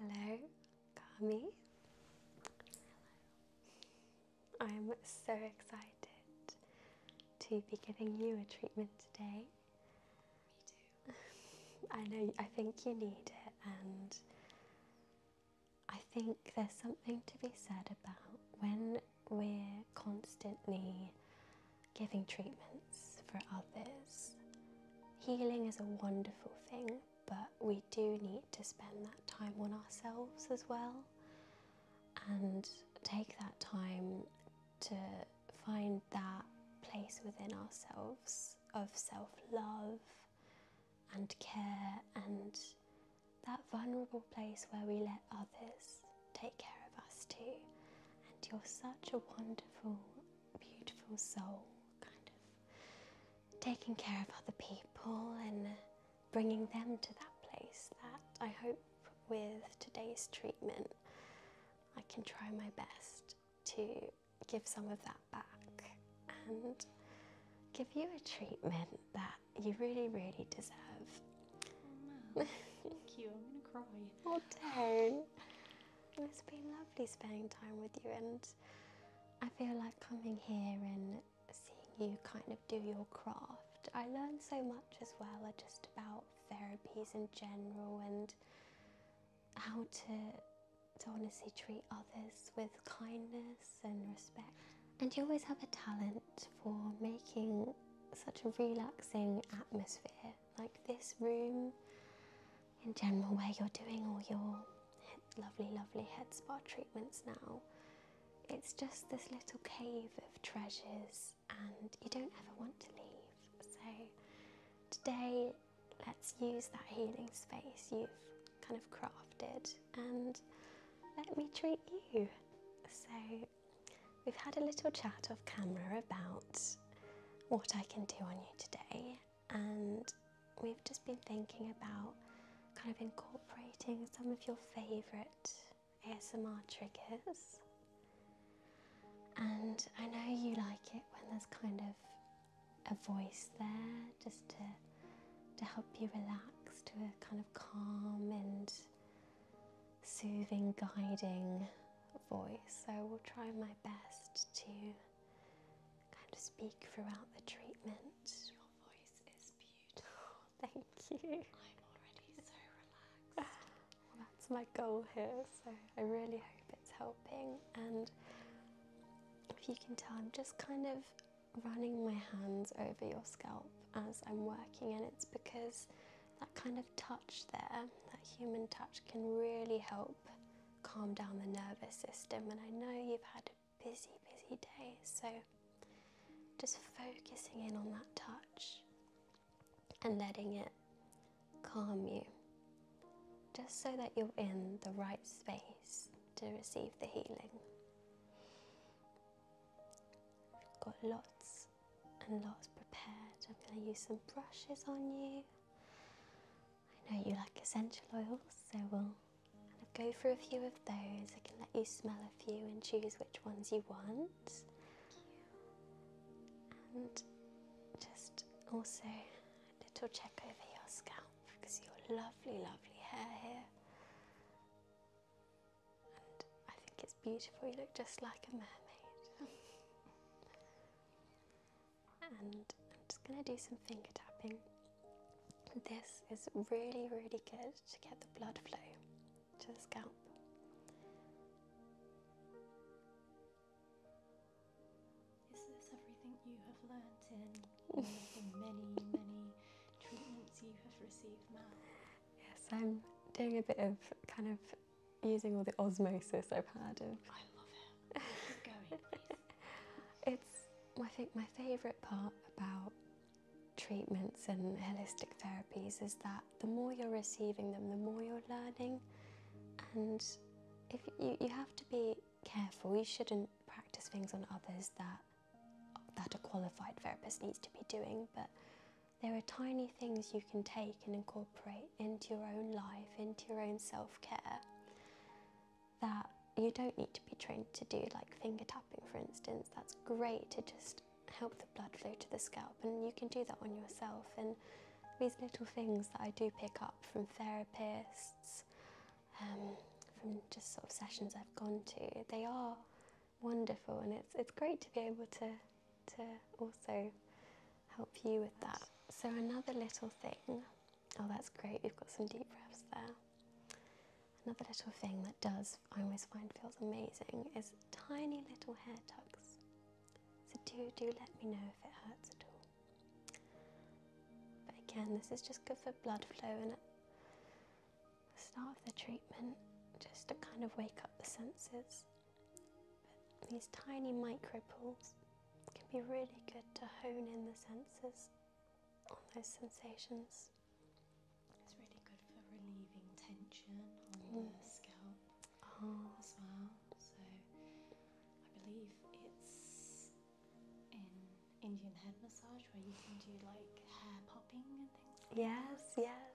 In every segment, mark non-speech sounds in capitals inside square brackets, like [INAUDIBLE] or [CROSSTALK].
Hello, Kami. Hello. I'm so excited to be giving you a treatment today. Me [LAUGHS] too. I know, I think you need it, and I think there's something to be said about when we're constantly giving treatments for others. Healing is a wonderful thing, but we do need to spend that time on ourselves as well and take that time to find that place within ourselves of self love and care and that vulnerable place where we let others take care of us too. And you're such a wonderful, beautiful soul, kind of taking care of other people and bringing them to that place that I hope with today's treatment I can try my best to give some of that back and give you a treatment that you really, really deserve. Oh, Thank you. I'm gonna cry. Oh, [LAUGHS] don't. It's been lovely spending time with you, and I feel like coming here and seeing you kind of do your craft. I learned so much as well, uh, just about therapies in general and how to to honestly treat others with kindness and respect. And you always have a talent for making such a relaxing atmosphere, like this room in general, where you're doing all your lovely, lovely head spa treatments now. It's just this little cave of treasures, and you don't ever want to leave. So, today, let's use that healing space you've kind of crafted and let me treat you. So, we've had a little chat off camera about what I can do on you today, and we've just been thinking about kind of incorporating some of your favourite ASMR triggers. And I know you like it when there's kind of a voice there just to, to help you relax to a kind of calm and soothing, guiding voice. So I will try my best to kind of speak throughout the treatment. Your voice is beautiful. Thank you. I'm already so relaxed. [SIGHS] that's my goal here. So I really hope it's helping. And if you can tell, I'm just kind of running my hands over your scalp as I'm working, and it's because that kind of touch there, that human touch, can really help calm down the nervous system. And I know you've had a busy, busy day, so just focusing in on that touch and letting it calm you, just so that you're in the right space to receive the healing. I've got lots and lots prepared. I'm going to use some brushes on you. I know you like essential oils, so we'll go through a few of those. I can let you smell a few and choose which ones you want. And just also a little check over your scalp because your lovely, lovely hair here and I think it's beautiful. You look just like a mermaid. [LAUGHS] and I'm just going to do some finger tapping. This is really, really good to get the blood flow to the scalp. Is this everything you have learnt in all the many, many treatments you have received now? Yes, I'm doing a bit of kind of using all the osmosis I've had. Of I love it. Keep going, [LAUGHS] it's I think my favourite part about treatments and holistic therapies is that the more you're receiving them, the more you're learning, and if you, you have to be careful, you shouldn't practice things on others that that a qualified therapist needs to be doing, but there are tiny things you can take and incorporate into your own life, into your own self-care, that you don't need to be trained to do, like finger tapping, for instance. That's great to just help the blood flow to the scalp, and you can do that on yourself. And these little things that I do pick up from therapists, um, from just sort of sessions I've gone to, they are wonderful and it's, it's great to be able to, to also help you with that. So another little thing, oh that's great, we've got some deep breaths there. Another little thing that does, I always find feels amazing, is tiny little hair tucks. So do, do let me know if it hurts at all. But again, this is just good for blood flow and it the start of the treatment just to kind of wake up the senses. these tiny micro pulls can be really good to hone in the senses on those sensations. It's really good for relieving tension on the mm. scalp oh. as well. So I believe it's in Indian head massage where you can do like hair popping and things. yes, yes.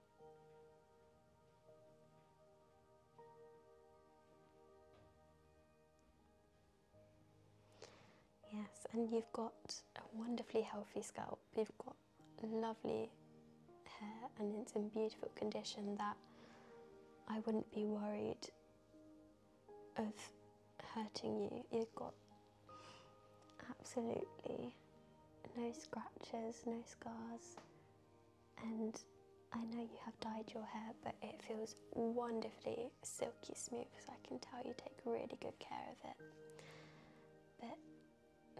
Yes, and you've got a wonderfully healthy scalp. You've got lovely hair and it's in beautiful condition that I wouldn't be worried of hurting you. You've got absolutely no scratches, no scars, and I know you have dyed your hair, but it feels wonderfully silky smooth, so I can tell you take really good care of it. But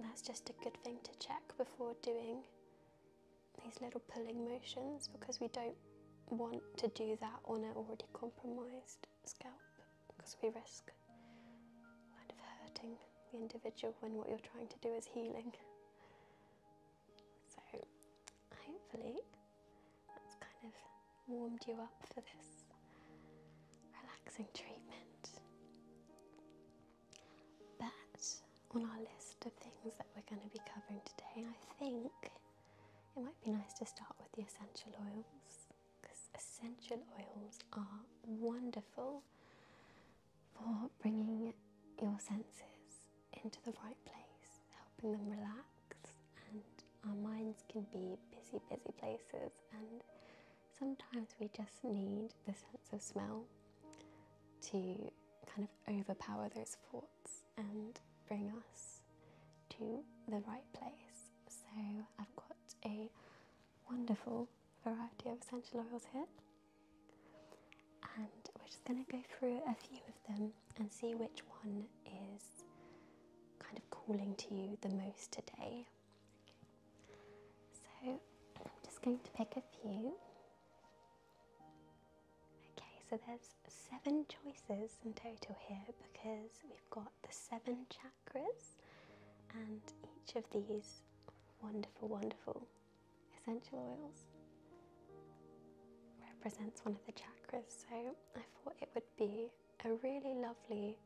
that's just a good thing to check before doing these little pulling motions because we don't want to do that on an already compromised scalp because we risk kind of hurting the individual when what you're trying to do is healing. So hopefully that's kind of warmed you up for this relaxing treatment. But on our list of things that we're going to be covering today, I think it might be nice to start with the essential oils because essential oils are wonderful for bringing your senses into the right place, helping them relax. And our minds can be busy, busy places, and sometimes we just need the sense of smell to kind of overpower those thoughts and bring us to the right place. So I've got a wonderful variety of essential oils here. And we're just going to go through a few of them and see which one is kind of calling to you the most today. So I'm just going to pick a few. Okay, so there's seven choices in total here because we've got the seven chakras and each of these wonderful, wonderful essential oils. Represents one of the chakras, so I thought it would be a really lovely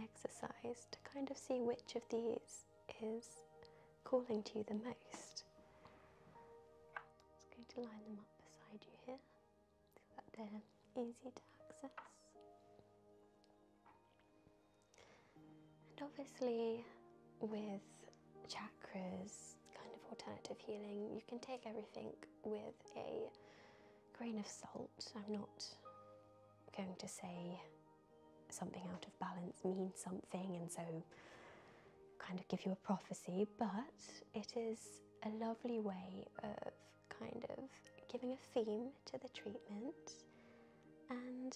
exercise to kind of see which of these is calling to you the most. I'm going to line them up beside you here so that they're easy to access. And obviously, with chakras, kind of alternative healing, you can take everything with a grain of salt. I'm not going to say something out of balance means something and so kind of give you a prophecy, but it is a lovely way of kind of giving a theme to the treatment and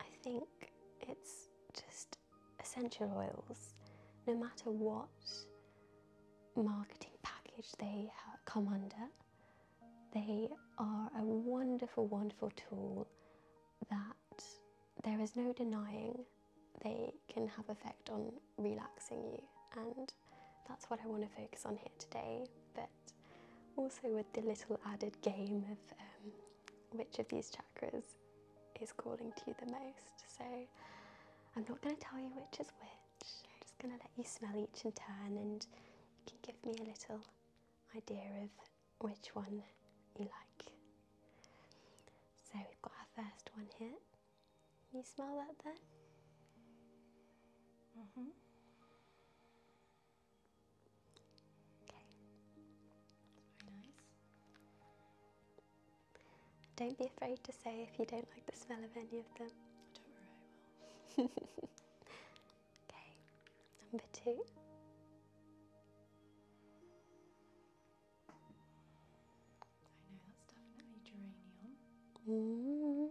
I think it's just essential oils, no matter what marketing package they come under, they are a wonderful, wonderful tool that there is no denying they can have effect on relaxing you and that's what I want to focus on here today but also with the little added game of um, which of these chakras is calling to you the most. So I'm not going to tell you which is which. I'm just going to let you smell each in turn and you can give me a little idea of which one you like. So we've got our first one here. you smell that then? hmm Okay. Very nice. Don't be afraid to say if you don't like the smell of any of them. Don't [LAUGHS] worry, okay, number two. I know that's definitely geranium. Mm.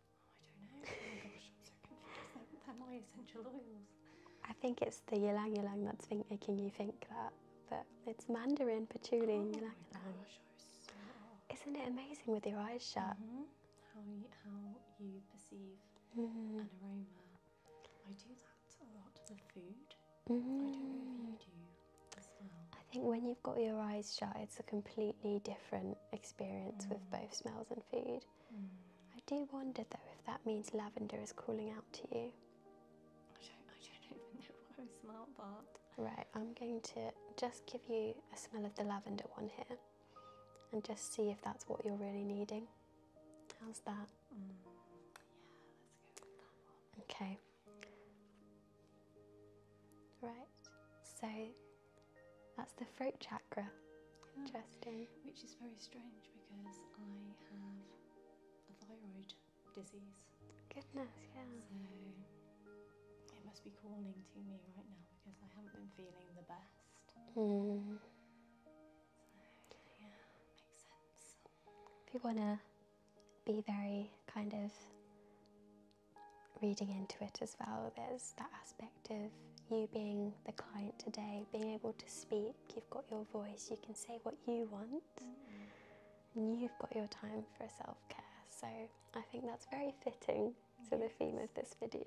Oh I think it's the ylang ylang that's making you think that, but it's mandarin, patchouli, oh and ylang Isn't it amazing with your eyes shut? Mm-hmm. How you, perceive mm an aroma. I do that a lot with food. I don't know if you mm-hmm. do as well. I think when you've got your eyes shut, it's a completely different experience with mm. both smells and food. Mm. I do wonder though if that means lavender is calling out to you. I don't, even know what I smell, but. Right, I'm going to just give you a smell of the lavender one here and just see if that's what you're really needing. How's that? Mm, okay. Right, so that's the throat chakra. Oh, Interesting. Which is very strange because I have a thyroid disease. Goodness, yeah. So it must be calling to me right now because I haven't been feeling the best. Mm. yeah, makes sense. If you want to be very kind of reading into it as well, there's that aspect of you being the client today, being able to speak, you've got your voice, you can say what you want, and you've got your time for self care. So I think that's very fitting to the theme of this video.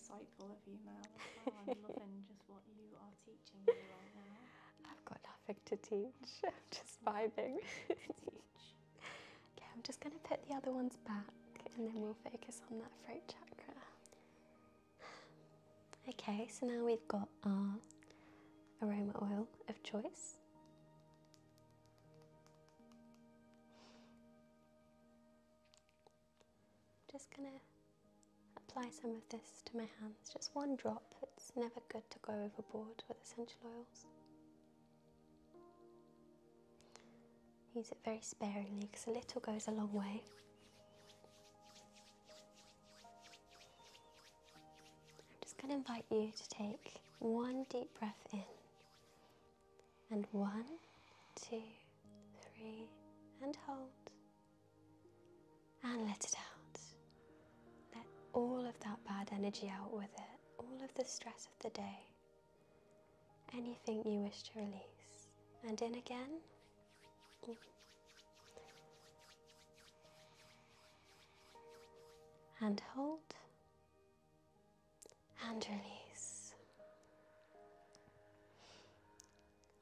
so. very of you, i [LAUGHS] loving just what you are teaching me right now. I've got nothing to teach, [LAUGHS] I'm just vibing. [LAUGHS] teach. Okay, I'm just going to put the other ones back and then we'll focus on that throat chakra. Okay, so now we've got our aroma oil of choice. Just gonna apply some of this to my hands, just one drop. It's never good to go overboard with essential oils. Use it very sparingly because a little goes a long way. I'm just going to invite you to take one deep breath in and one, two, three, and hold and let it out. Let all of that bad energy out with it, all of the stress of the day, anything you wish to release. And in again. And hold and release.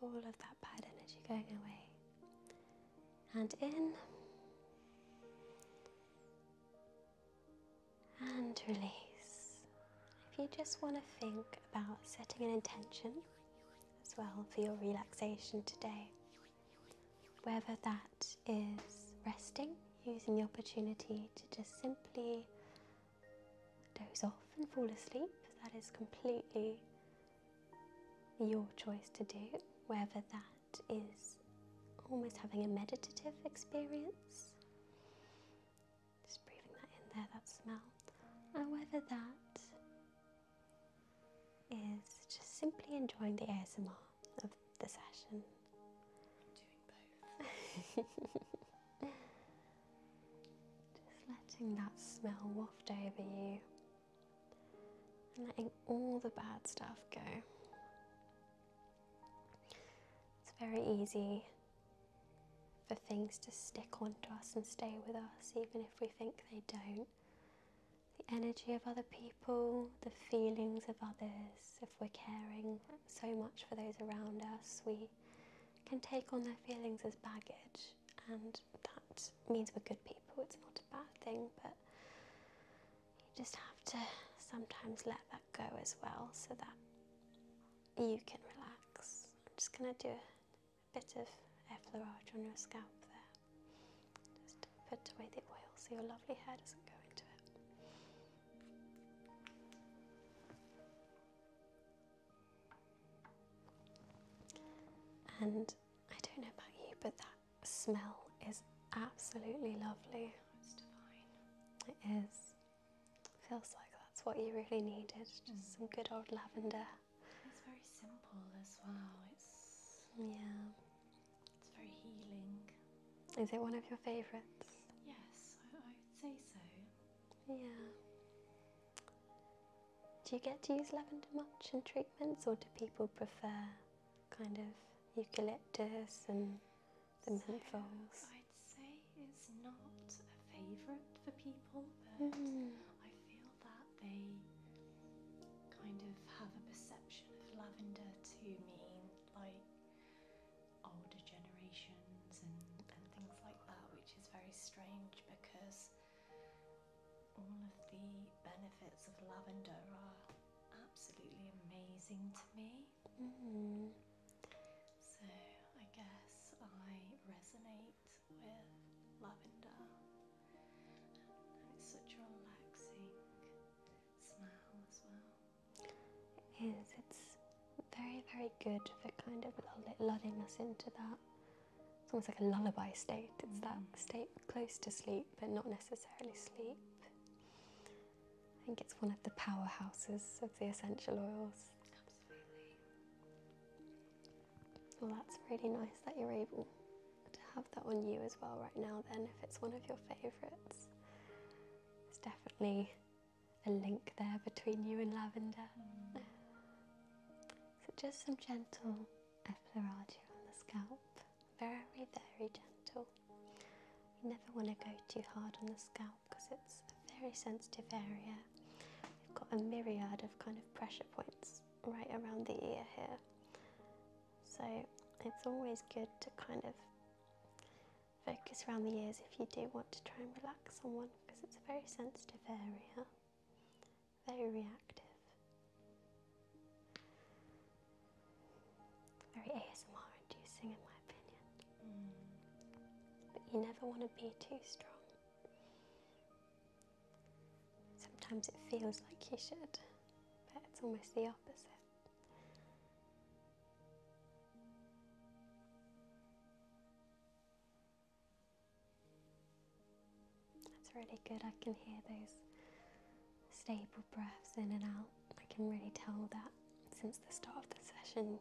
All of that bad energy going away. And in and release. If you just want to think about setting an intention as well for your relaxation today, whether that is resting, using the opportunity to just simply doze off and fall asleep, that is completely your choice to do, whether that is almost having a meditative experience just breathing that in there, that smell. And whether that is just simply enjoying the ASMR of the session. Doing both. [LAUGHS] just letting that smell waft over you and letting all the bad stuff go. It's very easy for things to stick onto us and stay with us, even if we think they don't. The energy of other people, the feelings of others, if we're caring so much for those around us, we can take on their feelings as baggage, and that means we're good people. It's not a bad thing, but you just have to sometimes let that go as well so that you can relax. I'm just going to do it a bit of effleurage on your scalp there. Just put away the oil so your lovely hair doesn't go into it. And I don't know about you, but that smell is absolutely lovely. It is. Feels like that's what you really needed. Just mm. some good old lavender. It's very simple as well. It's yeah. It's very healing. Is it one of your favourites? Yes, I, would say so. Yeah. Do you get to use lavender much in treatments, or do people prefer kind of eucalyptus and the so, menthols? I'd say it's not a favourite for people, but hmm. I feel that they kind of have a perception of lavender to mean like older generations and, things like that, which is very strange because all of the benefits of lavender are absolutely amazing to me. Hmm. So I guess I resonate scent with lavender and it's such a relaxing smell as well. It is, it's very very good for kind of lulling us into that it's almost like a lullaby state. It's that mm. state close to sleep, but not necessarily sleep. I think it's one of the powerhouses of the essential oils. Well, that's really nice that you're able to have that on you as well right now, then, if it's one of your favourites. it's definitely a link there between you and lavender. So, just some gentle effleurage on the scalp. Very, very gentle. You never want to go too hard on the scalp because it's a very sensitive area. We've got a myriad of kind of pressure points right around the ear here. So it's always good to kind of focus around the ears if you do want to try and relax someone because it's a very sensitive area, very reactive, very ASMR inducing in my opinion. Mm. But you never want to be too strong. Sometimes it feels like you should, but it's almost the opposite. That's really good. I can hear those stable breaths in and out. I can really tell that since the start of the session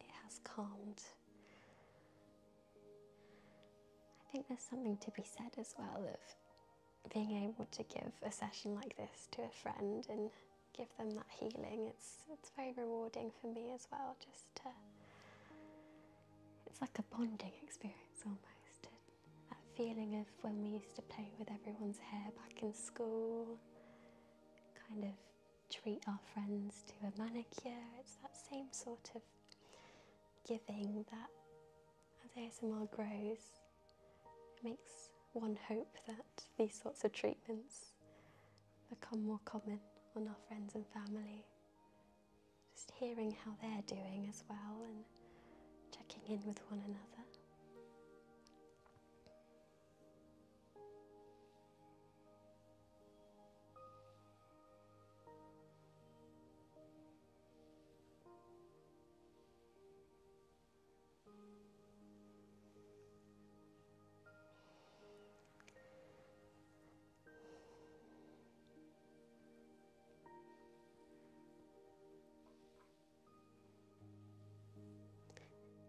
it has calmed I think there's something to be said as well of being able to give a session like this to a friend and give them that healing. It's it's very rewarding for me as well. Just to, it's like a bonding experience almost. That feeling of when we used to play with everyone's hair back in school, kind of treat our friends to a manicure. It's that same sort of giving that as ASMR grows, it makes one hope that these sorts of treatments become more common on our friends and family. Just hearing how they're doing as well and checking in with one another.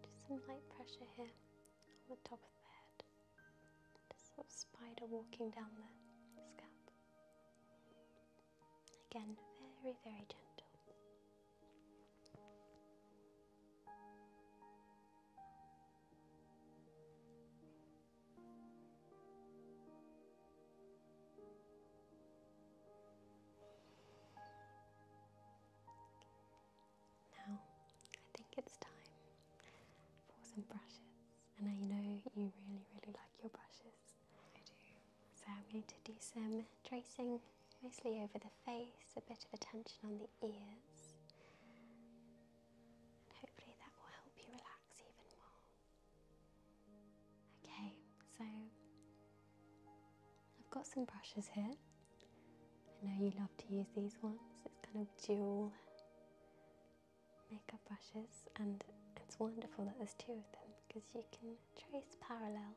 Just some light pressure here on the top of the head. Just sort of spider walking down the scalp. Again, very, very gentle. Now, I think it's time for some brushes, and I know you really, really like your brushes. I do. So, I'm going to do some tracing mostly over the face, a bit of attention on the ears, and hopefully that will help you relax even more. Okay, so I've got some brushes here. I know you love to use these ones, it's kind of dual makeup brushes and it's wonderful that there's two of them because you can trace parallel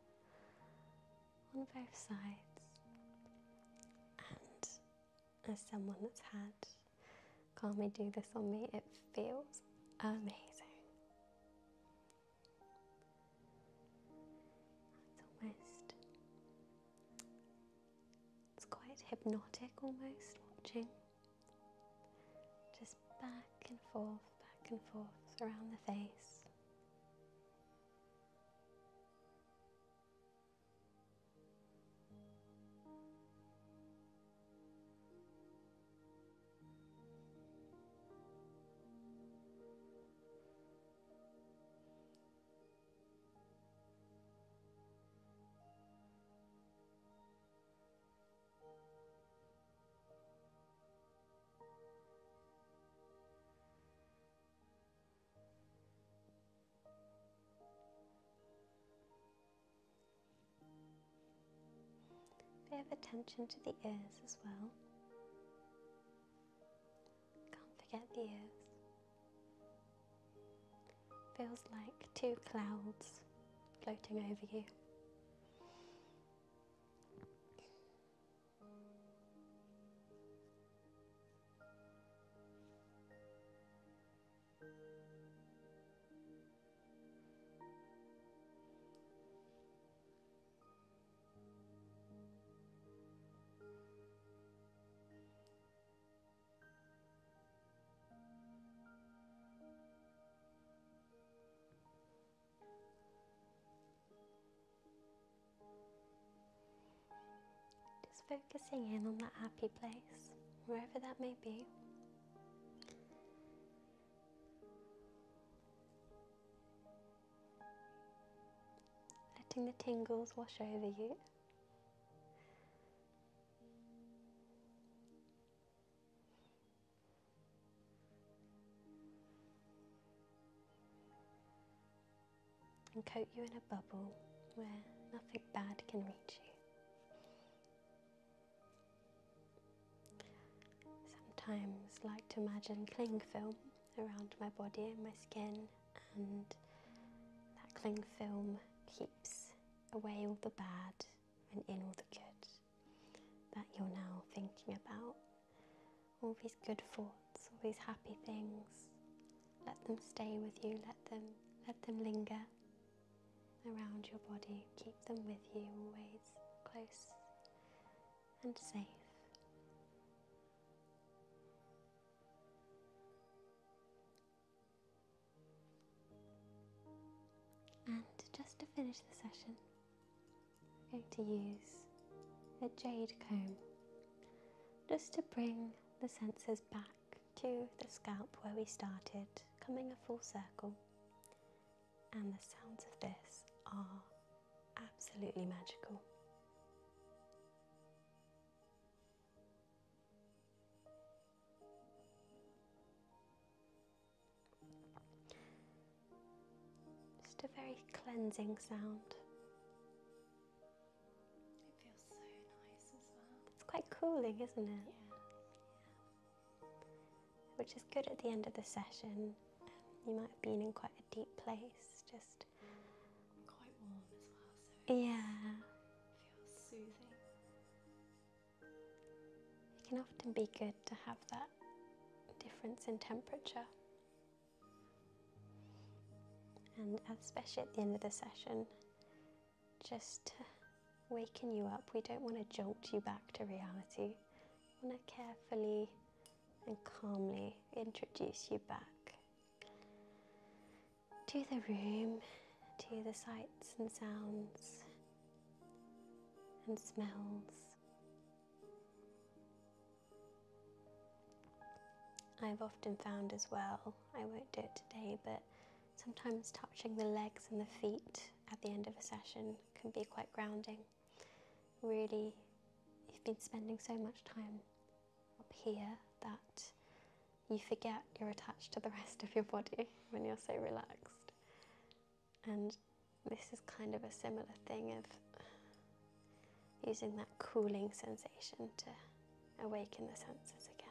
on both sides and as someone that's had Kami do this on me it feels amazing it's almost it's quite hypnotic almost watching. Just back and forth, back and forth around the face bit of attention to the ears as well. Can't forget the ears. Feels like two clouds floating over you. Just focusing in on that happy place, wherever that may be. Letting the tingles wash over you and coat you in a bubble where nothing bad can reach you. Sometimes like to imagine cling film around my body and my skin and that cling film keeps away all the bad and in all the good that you're now thinking about. All these good thoughts, all these happy things, let them stay with you, let them, let them linger around your body, keep them with you always close and safe. And just to finish the session, I'm going to use a jade comb just to bring the senses back to the scalp where we started, coming a full circle. And the sounds of this are absolutely magical. Just a very cleansing sound. It feels so nice as well. It's quite cooling, isn't it? Yeah. Which is good at the end of the session. you might have been in quite a deep place, just. Quite warm as well, Yeah soothing. It can often be good to have that difference in temperature. And especially at the end of the session, just to waken you up. We don't want to jolt you back to reality. We want to carefully and calmly introduce you back to the room, to the sights and sounds and smells. I've often found as well, I won't do it today, but sometimes touching the legs and the feet at the end of a session can be quite grounding. Really, you've been spending so much time up here that you forget you're attached to the rest of your body when you're so relaxed. And this is kind of a similar thing of using that cooling sensation to awaken the senses again.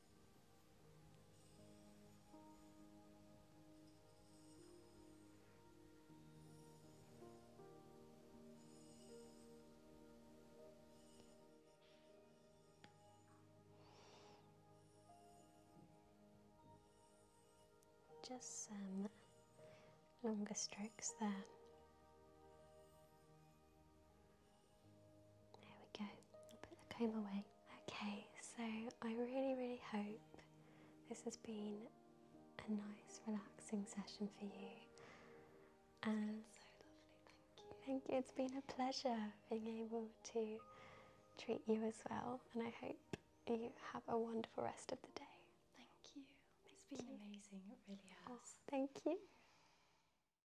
Just some longer strokes there. There we go, put the comb away. Okay, so I really, really hope this has been a nice, relaxing session for you. And so lovely, thank you. Thank you, it's been a pleasure being able to treat you as well. And I hope you have a wonderful rest of the day. Thank you. it's been amazing, it really has. thank you.